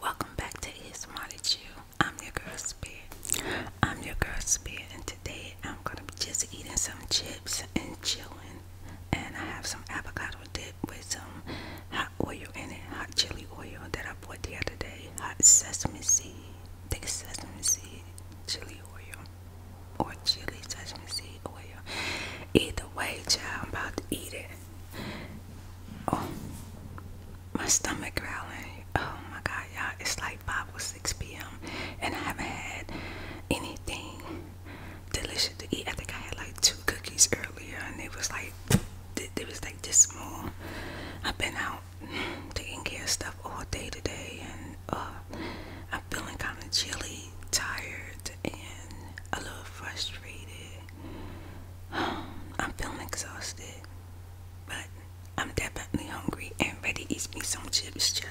Welcome back to ASMR You. I'm your girl Speed. I'm your girl Spear, today I'm gonna be just eating some chips and chilling. And I have some avocado dip with some hot oil in it, hot chili oil that I bought the other day. Hot sesame seed, thick sesame seed, chili oil, or chili sesame seed oil. Either way, child, I'm about to eat it. Oh, my stomach growling. Oh my God, y'all! It's like Bible 6 p.m. and I haven't had anything delicious to eat. I think I had like two cookies earlier, and it was like it was like this small. I've been out taking care of stuff all day today, and uh, I'm feeling kind of chilly, tired, and a little frustrated. I'm feeling exhausted, but I'm definitely hungry and ready to eat me some chips, child.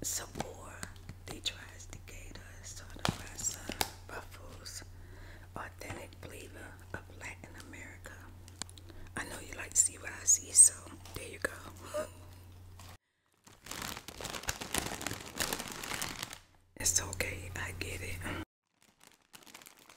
Some they tries to gator, sort of wrestler, uh, ruffles, authentic believer of Latin America. I know you like to see what I see, so there you go. It's okay, I get it.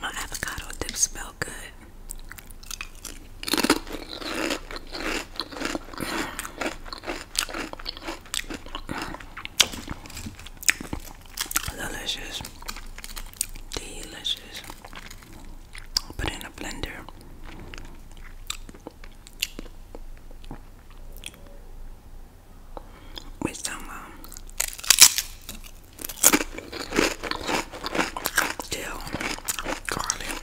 My avocado dip smell good. Delicious. Delicious. put in a blender. With some um, garlic,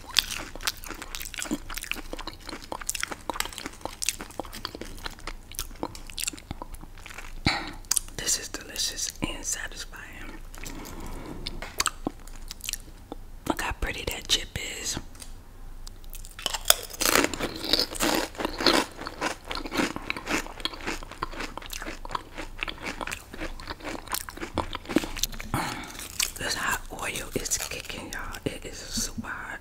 This is delicious and satisfying. Look how pretty that chip is. This hot oil is kicking, y'all. It is so hot.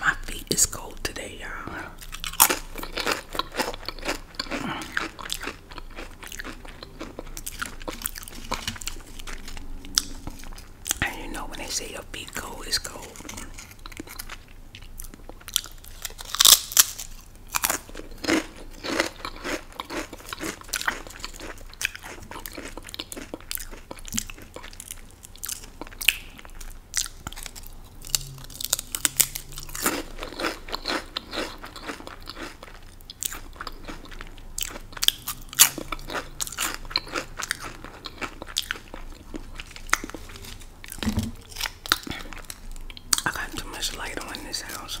My feet is cold today, y'all. And you know when they say your feet cold, is cold. I got too much light on in this house.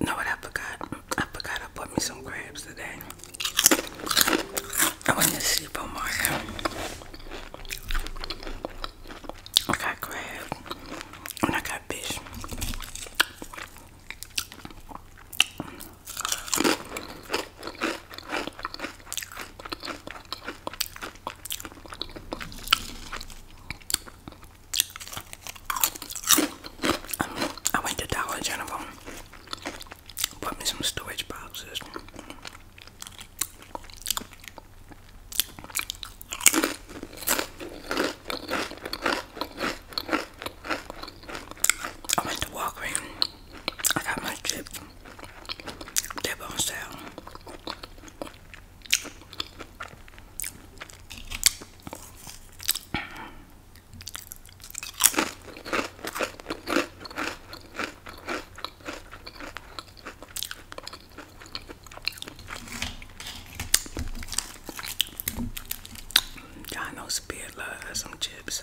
Know what I forgot? I forgot I put me some crabs today. I went to supermarket. I got crab and I got fish. I went to Dollar General, bought me some storage boxes. I went to Walgreens. I got my chips. That are bone Got no all Spirit love some chips.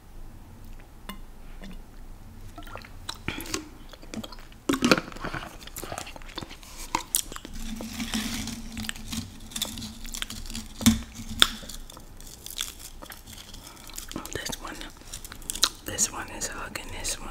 This one, this one is hugging this one.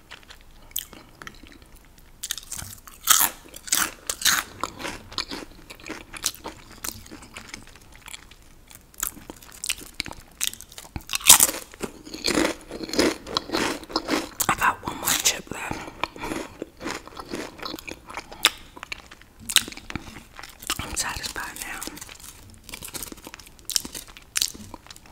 I got one more chip left. I'm satisfied now.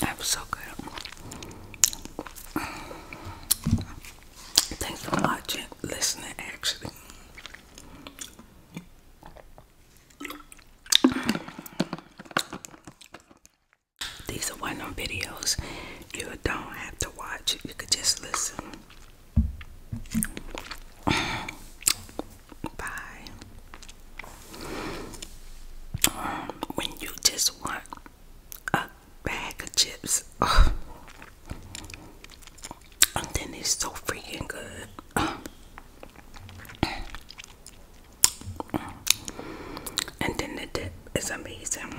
That was so good. Thanks for watching, listening, actually. These are one on videos you don't have to watch, you could just listen. Bye. when you just want a bag of chips, and then it's so freaking good. And then the it is amazing.